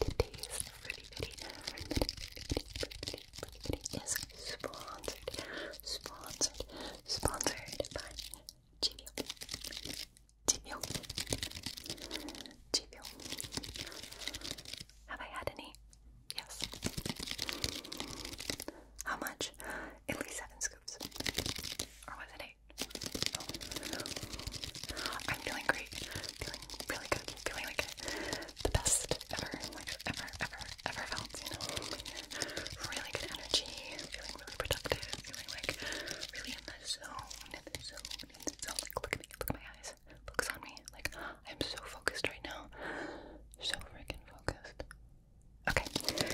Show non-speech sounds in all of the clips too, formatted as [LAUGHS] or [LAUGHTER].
today's pretty video, is sponsored, sponsored, sponsored Have I had any? Yes. How much? At least seven scoops. Or was it eight? I'm feeling great. Feeling really good feeling like the best ever, like ever, ever, ever felt, you know? Really good energy, feeling really productive, feeling like really in the zone, in the zone, in the zone. Like, look at me, look at my eyes, focus on me. Like, I'm so focused right now. So freaking focused. Okay, perfect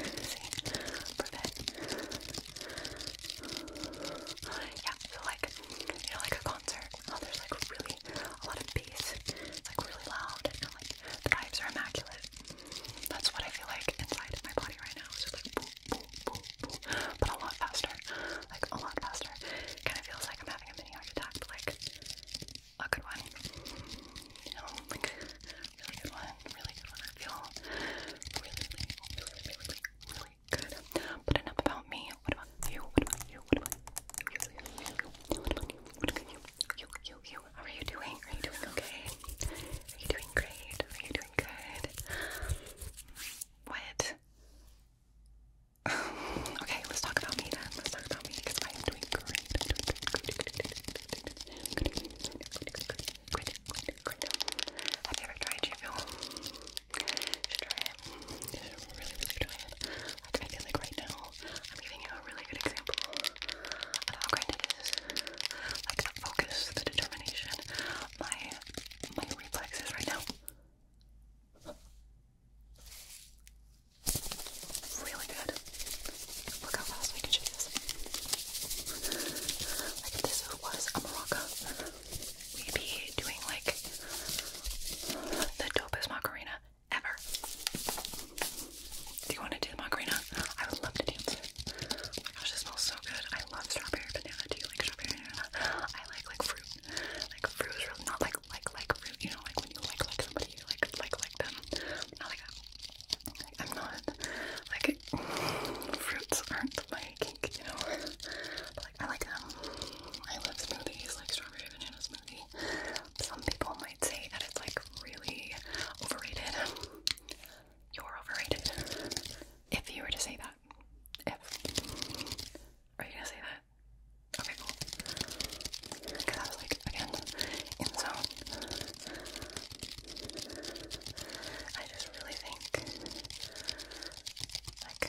yeah, so like, you know, like a concert, oh, there's like really a lot of bass, it's like really loud, and like the vibes are immaculate. That's what I feel like inside my body right now. It's just like boom, boom, boom, boom, but a lot faster, like a lot faster. Kind of feels like I'm having a mini heart attack, but like a good one. You know, like really good one, really good one. I feel really, really, really, really, really, really, Good. But about me. What about you? What about you? What about you? You, you, you, What about you? What about you? How are you doing? Are you doing okay? Are you doing great? Are you doing good? What? okay, let's talk about me Let's talk about me because I great. I'm doing Have you ever tried G should try it. really, really try it. I feel like right now, I'm giving you a really good example of how great it is. Like, the focus, the determination, my, my reflexes right now. Really good. Look how fast we can do this. Like, this was a maraca, maybe doing like the dopest macarena ever. Do you want to do the macarena? I would love to dance. Oh my gosh, it smells so good. I love strawberry banana. Do you like strawberry banana? I like like fruit. Like fruit is really not like like like fruit, you know, like when you like like somebody you like like like them. Not like that. Like, I'm not like fruits aren't my you know. [LAUGHS] like I like them. Um, I love smoothies, like strawberry banana smoothie. Some people might say that it's like really overrated. You're overrated. If you were to say that. If are you gonna say that? Okay, cool. Because I was like, again, in zone. I just really think like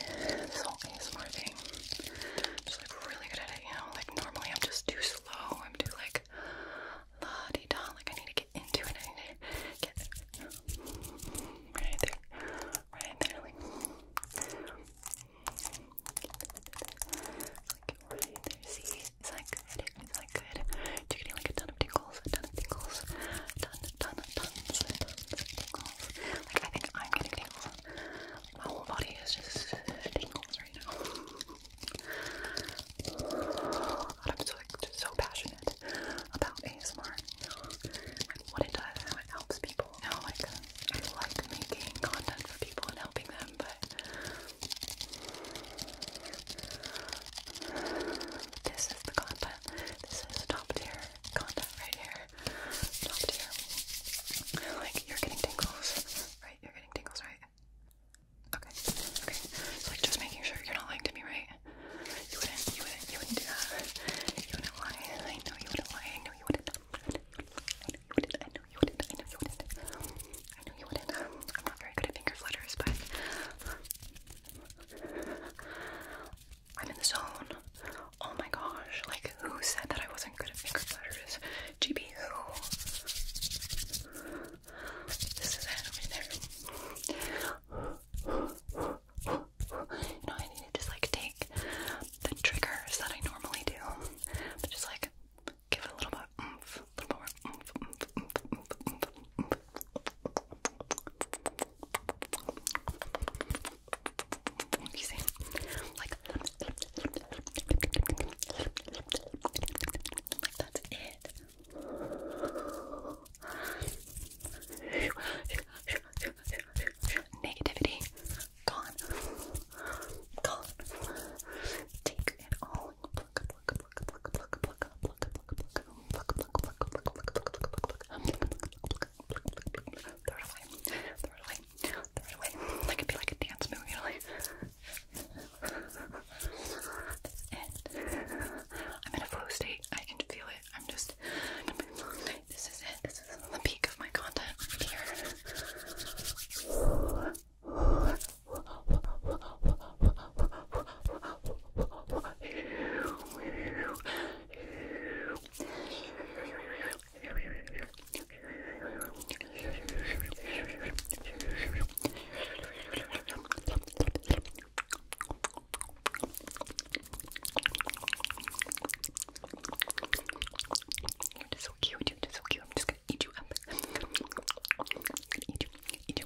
this whole ASMR thing. I'm just like really good at it, you know. Like normally I'm just too slow. I'm too like la di da. Like I need to get into it. I need to get right there, right there. Like, like right See, is that good? Is good? You're getting like a ton of tingles, a ton of tingles, ton, tons and tons of tingles. Like, I think I'm getting tingles. Like, my whole body is just tingles right now. I'm so, like, so passionate about ASMR and what it does and helps people. You like, I like making content for people and helping them, but this is the content this is top tier content right here. Top tier. Like, you're getting tingles, right? You're getting tingles, right? Okay, okay. like, just making sure you're not lying to me, right? You wouldn't, you wouldn't, you wouldn't do that. You wouldn't lie. I know you wouldn't lie. I know you wouldn't. I know you wouldn't. I know you wouldn't. I know you wouldn't. I know you wouldn't. I'm not very good at finger flutters, but I'm in the zone. Oh my gosh, like who said that I wasn't good at finger platters? GB who? This is it, i there. You I need to just like take the triggers that I normally do, but just like give it a little bit a little more you Like, that's it. Negativity gone. Gone. Take it all. Look, look, look, look, look, look, look, look, be like a dance move, you I'm in a flow state. I can feel it. I'm just this is it. This is the peak of my content here. You're just so cute, you're just so cute. I'm just gonna eat you up. I'm gonna eat you, eat you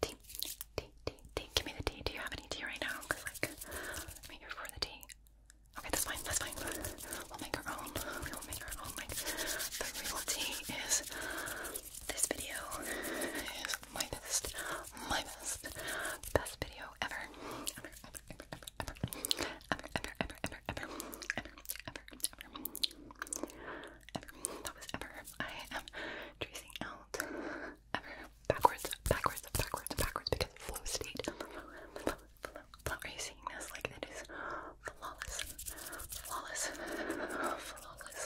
Tea, tea, tea, tea. Give me the tea. Do you have any tea right now? Cause like, I'm for the tea. Okay, that's fine. That's fine. We'll make our own. We will make our own. Like, the real tea is. This video is my best, my best, best video ever, ever, ever, ever, ever, ever, ever, ever, ever, ever, ever, ever. That was ever. I am tracing out ever. Backwards, backwards, backwards, backwards, because flow state. Flow, flow, flow, flow. Are you seeing this? Like, it is flawless. Flawless. Flawless.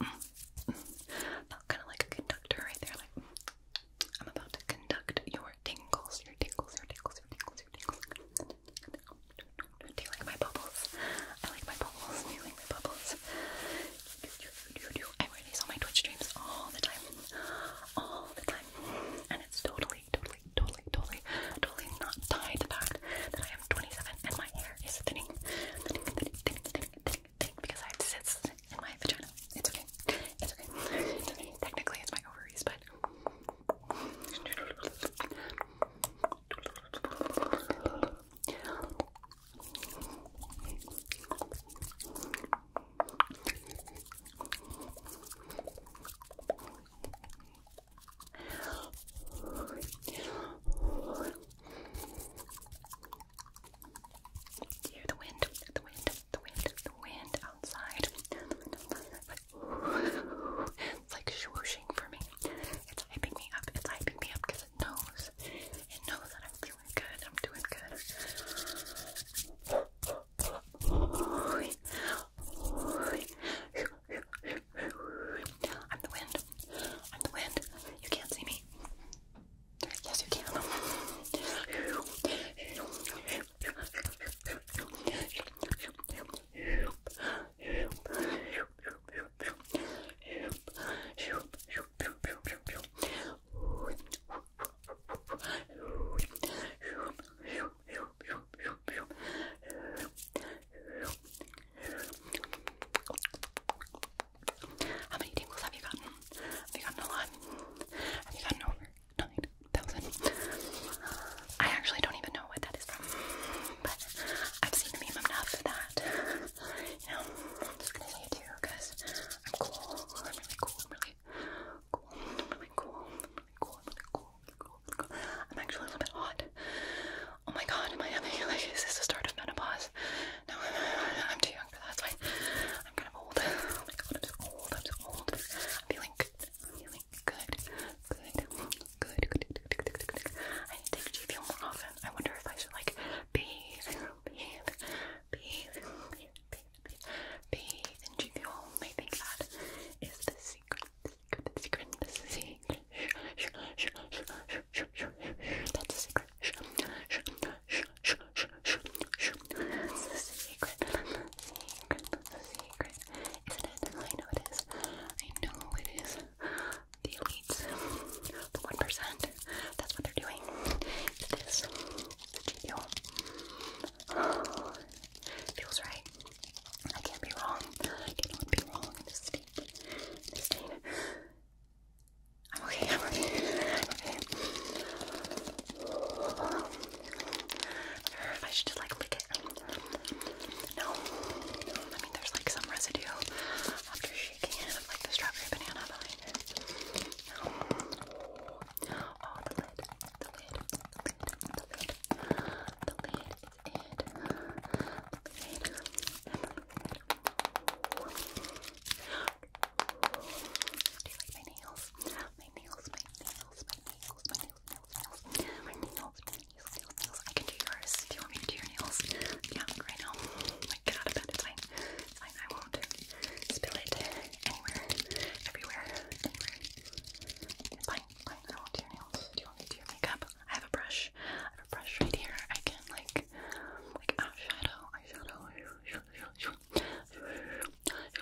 Mm, mm. Not kind of like a conductor right there, like, I'm about to conduct your tingles, your tingles, your tingles, your tingles, your tingles. Do you like my bubbles? I like my bubbles. Do you like my bubbles? Do, do, do, do. I wear these on my Twitch streams all the time. All the time. And it's totally, totally, totally, totally, totally not tied to the fact that I am 27 and my hair is thinning. Thinning, thinning, thinning, thinning, thinning, thinning because I have cysts in my vagina. It's okay. It's okay. It's okay. Technically, it's my ovaries, but. Do you hear the wind? The wind, the wind, the wind outside. But it's like swooshing for me. It's hyping me up. It's hyping me up because it knows. It knows that I'm feeling good. I'm doing good. I'm the wind. I'm the wind. You can't see me. Yes, you can. How many tingles have you gotten? Have you gotten a lot? Have you gotten over nine thousand? I actually don't even know know what that is from, but I've seen the meme enough that, you know, I'm just gonna say it too, because I'm cool, I'm really cool, I'm really cool, I'm really cool, I'm really cool, I'm really cool, I'm, actually a little bit hot. Oh my god, am I having, like, is this the start of menopause? No, I'm too young for that, that's fine. I'm kind of old. Oh my god, I'm too old, I'm so old. I'm feeling Really good. Good. Good. Good. Good. Good. I need to take GV more often. I wonder if I should like bathe, bathe, bathe, bathe, bathe, bathe in GV I think that is the secret. The secret. The secret. That's a secret. That's a secret. Secret. Secret. Isn't it? I know it is is. I know it is. The elites, the 1%. That's what they're doing. It's this. GPO. Oh, feels right. I can't be wrong. I cannot be wrong in this state. In this state. I'm okay, I'm okay. I'm okay. Um, or if I should just like lick it. No. I mean, there's like some residue after shaking it like the strawberry banana behind it. Oh, the lid. The lid. The lid. The lid. The lid The lid. Do you like my nails? My nails, my nails, my nails, my nails nails, nails, nails, nails, nails. I can do yours. Do you want me to do your nails? Yeah, right now. Like, get out of bed. It's I won't spill it anywhere, everywhere, anywhere. fine. Fine. I will your nails. Do you want me to do your makeup? I have a brush. I have a brush right here. I can like, like eyeshadow, eyeshadow,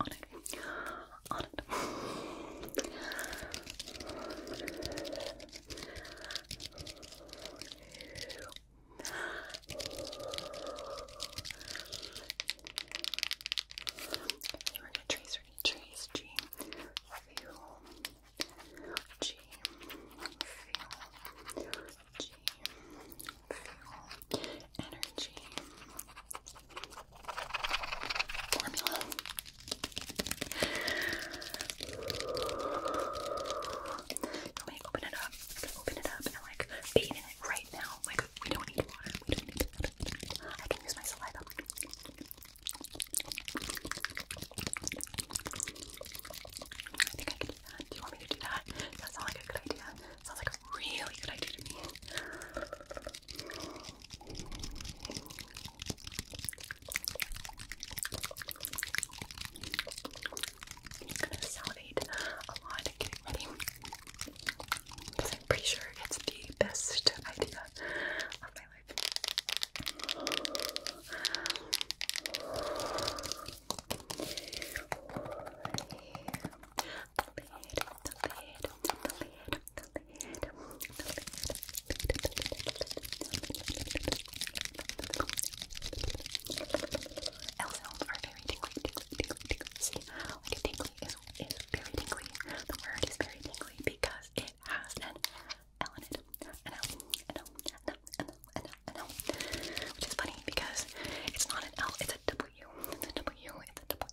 on it, on it. We're gonna trace, we're gonna trace G, energy, let me open it up. i open it up and like bathe in it right now. Like we don't need water. We don't need water. I can use my saliva. I think I can do that. Do you want me to do that? That sounds like a good idea. Sounds like a really good idea to me gonna salivate a lot getting ready because I'm pretty sure it's the best idea of my life. The lid, the lid, the are very tingly, tingly, tingly, tingly. See, tingly is, very tingly. The word is very tingly because it has an L in it. Which is funny because it's not an L, it's a W. It's a W, it's a W.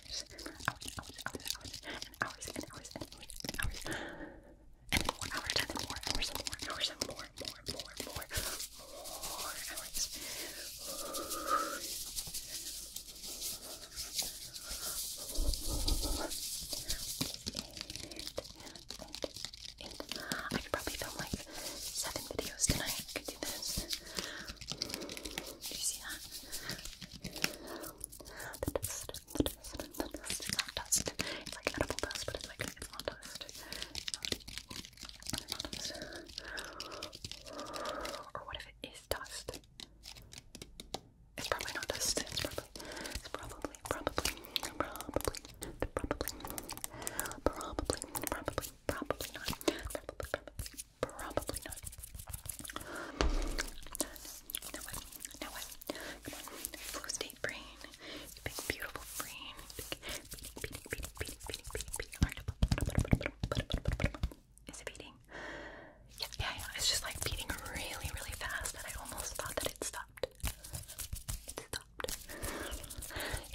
hours, hours, hours, hours, hours, and hours, and hours, and hours, and hours, and more hours, and more hours, and more hours, and more, more, more, more, more hours. And, and, and I could probably film like seven videos tonight. I could do this. Do you see that? The dust, the dust, the dust, it's not dust. It's like edible dust, but it's like it's not dust. It's not dust. Or what if it is dust? It's probably not dust. It's probably, it's probably, probably, probably, probably, probably, probably, probably not. Probably, probably, Probably not. No way. No way. Come on. Flow state brain. Big, beautiful brain. Big, beating, beating, beating, beating, beating, beating. Is it beating? Yeah, yeah, It's just like beating really, really fast that I almost thought that it stopped. It stopped. It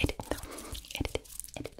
didn't, It didn't. It didn't.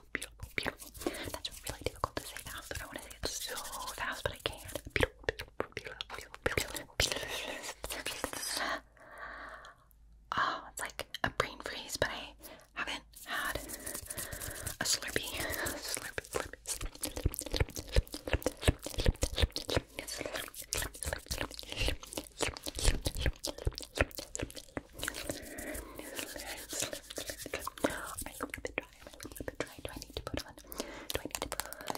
That's really difficult to say fast, but I want to say it so fast, but I can't. Oh, it's like a brain freeze, but I haven't had a Slurpee. Do I need to put on? Do I need to put on